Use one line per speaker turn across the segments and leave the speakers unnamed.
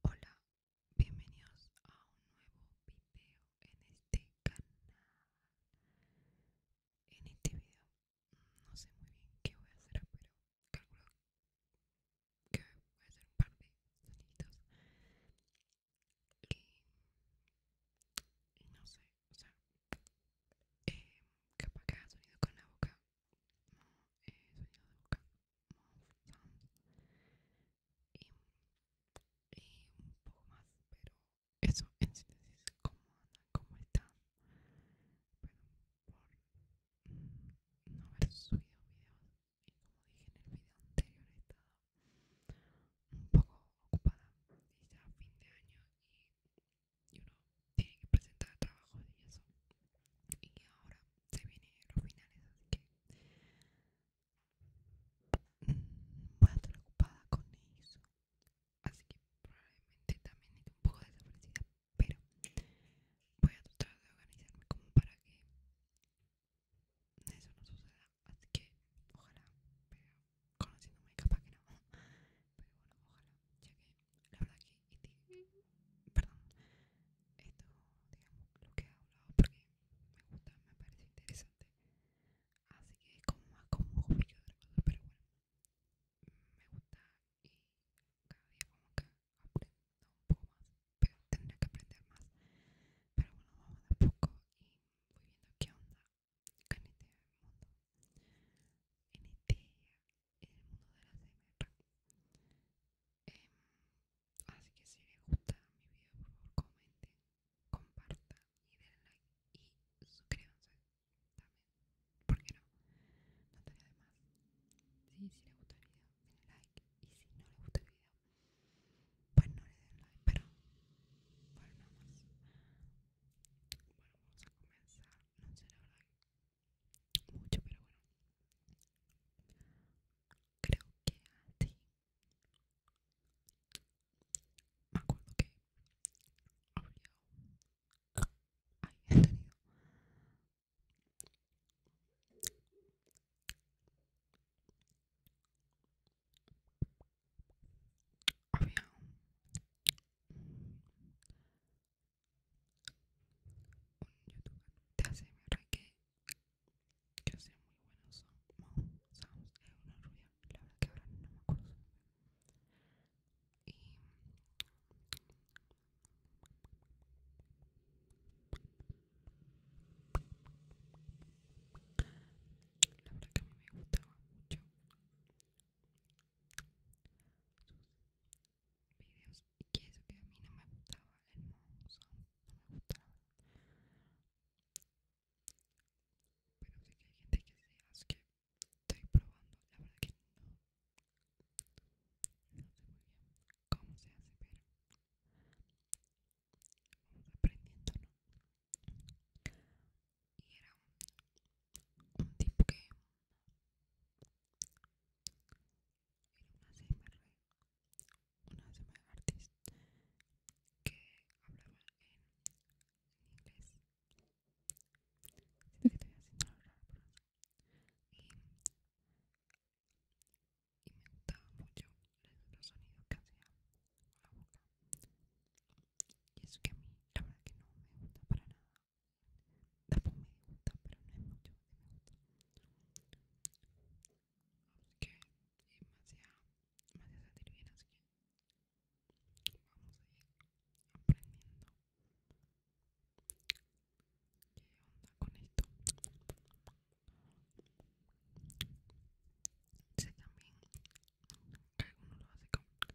Hola, bienvenidos a un nuevo video en este canal. En este video no sé muy bien qué voy a hacer, pero calculo que voy a hacer un par de sonidos. Y, no sé, o sea, eh, capaz que haga sonido con la boca. No, eh, sonido de boca y, un poco más, pero eso en síntesis, como como cómo están. por no haber subido videos y como dije en el video anterior he estado un poco ocupada y ya fin de año y, yo no tiene que presentar trabajo y eso. Y ahora se vienen los finales, así que mm, voy a estar ocupada con eso. Así que probablemente también que un poco de desaparecida, pero voy a tratar de organizarme como para que eso no suceda. Así que ojalá, pero conociéndome capaz que no, pero bueno, ojalá, la verdad que este, perdón, esto digamos lo que he hablado porque me gusta, me parece interesante, así que como más como un poquito pero bueno, me gusta y cada día como que aprendo un poco más, pero tendría que aprender más, pero bueno, vamos a poco y voy viendo qué onda este en este mundo, en el mundo de la CM así que si les gusta mi video, por favor comenten, compartan y den like y suscríbanse también. ¿Por qué no? No te de más. y si les gusta el video, denle like. Y si no les gusta el video, pues no le den like. Pero, bueno, nada más. vamos a comenzar. No mucho, pero bueno, creo que así. Me acuerdo que tenido un youtuber de ASMR que, que hace muy buenos sounds, es una rubia, la verdad que ahora no me acuerdo y la verdad que a mí me gustaba mucho videos y queso eso que a mí no me gustaba el mozo no me gustaba pero sé que hay gente que sí así que estoy probando la verdad que no no sé muy bien cómo se hace pero aprendiendo y era un, tipo que era una semana, una que hablaba en, inglés que y, me gustaba mucho los sonidos que hacía la boca y eso que a mí la verdad que no me gusta para nada Tampoco me gusta pero no es mucho porque es demasiado que así que vamos a ir aprendiendo qué onda con esto sé también que alguno lo hace con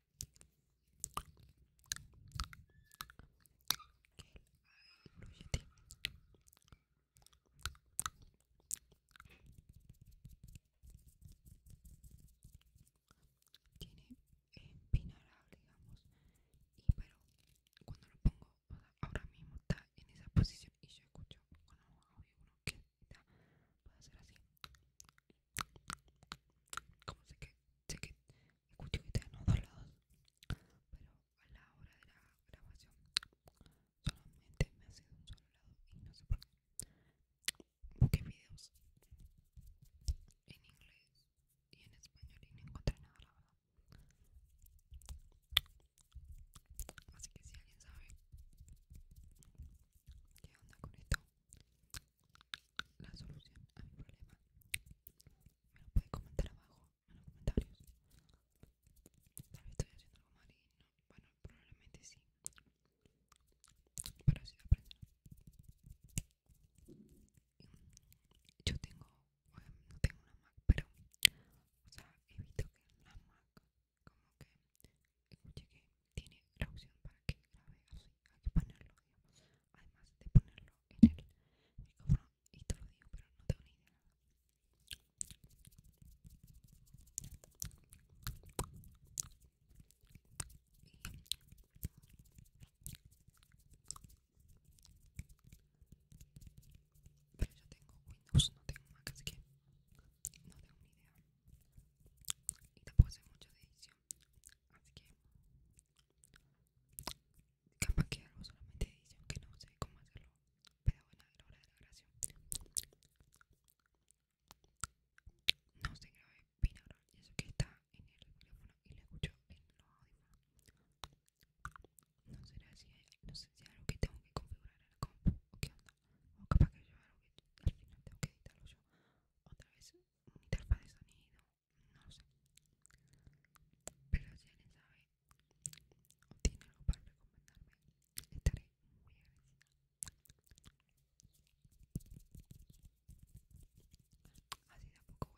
lo Tiene empinarado, digamos. Y pero cuando lo pongo, ahora mismo está en esa posición y yo escucho con los uno que está, a hacer así como sé que sé que escucho que están los dos lados pero a la hora de la grabación solamente me ha sido un solo lado y no sé por qué busqué videos en inglés y en español y no encontré nada la verdad así que si alguien sabe qué onda con esto la solución a mi problema me lo puede comentar abajo en los comentarios tal vez estoy haciendo algo mal y bueno probablemente sí pero así aparece. yo tengo no tengo una Mac pero o sea visto que Una la Mac como que escuché que tiene la opción para que grabe así hay que ponerlo además de ponerlo en el micrófono y te lo digo pero no tengo ni idea pero yo tengo Windows, no tengo Mac, así que no tengo ni idea y tampoco hace mucho edición así que capaz que hago solamente edición que no sé cómo hacerlo pero bueno a la hora de la grabación no se grave binaural y eso que está en el teléfono y le escucho en los no será si no sé si es algo que tengo que configurar en o qué onda o capaz que yo al final tengo que editarlo yo otra vez una interfaz de sonido no sé pero si alguien sabe o tiene algo para recomendarme estaré muy agradecido. así de a poco voy aprendiendo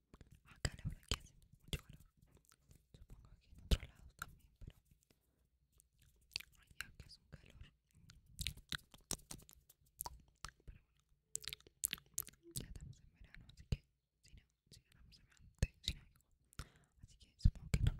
Acá la verdad que hace mucho calor. Supongo que en otros lados también, pero allá que hace un calor. Pero bueno, ya estamos en verano, así que si no, si no estamos en verano, si no, así que supongo que es normal.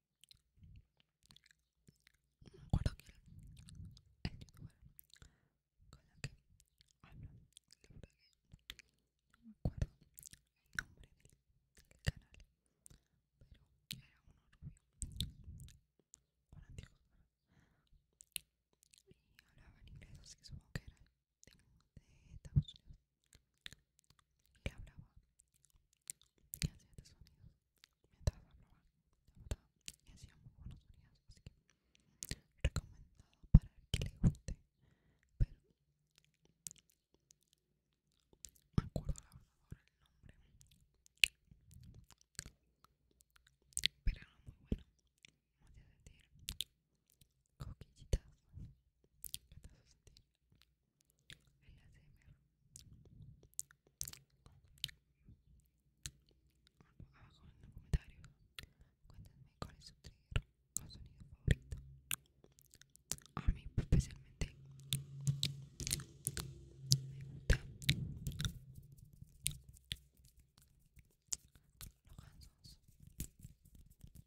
me acuerdo que era con la que hablo, que no me acuerdo el nombre del canal, pero era uno rubio, un antiguo, y hablaba en inglés, así que supongo que era de Estados Unidos que hablaba, y hacía estos sonidos mientras hablaba, y hacía muy buenos sonidos, así que recomendado para el que le guste, pero me acuerdo la ahora el nombre, pero era muy bueno, Voy a decir: coquillitas, que te hace el ASMR Abajo en los comentarios cuéntame cuál es su trigger o sonido favorito A mí especialmente Me gusta Los gansos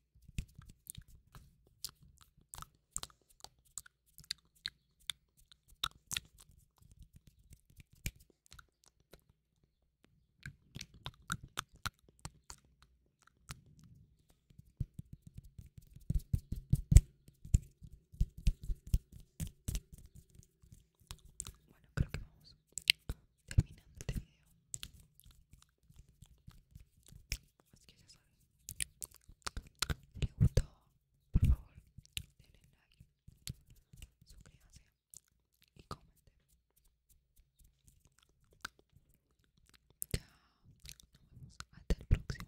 Bueno, creo que vamos terminando el este video. Así que ya saben. Si gustó, por favor, denle like, suscríbanse y comenten. Ya nos vemos hasta el próximo video.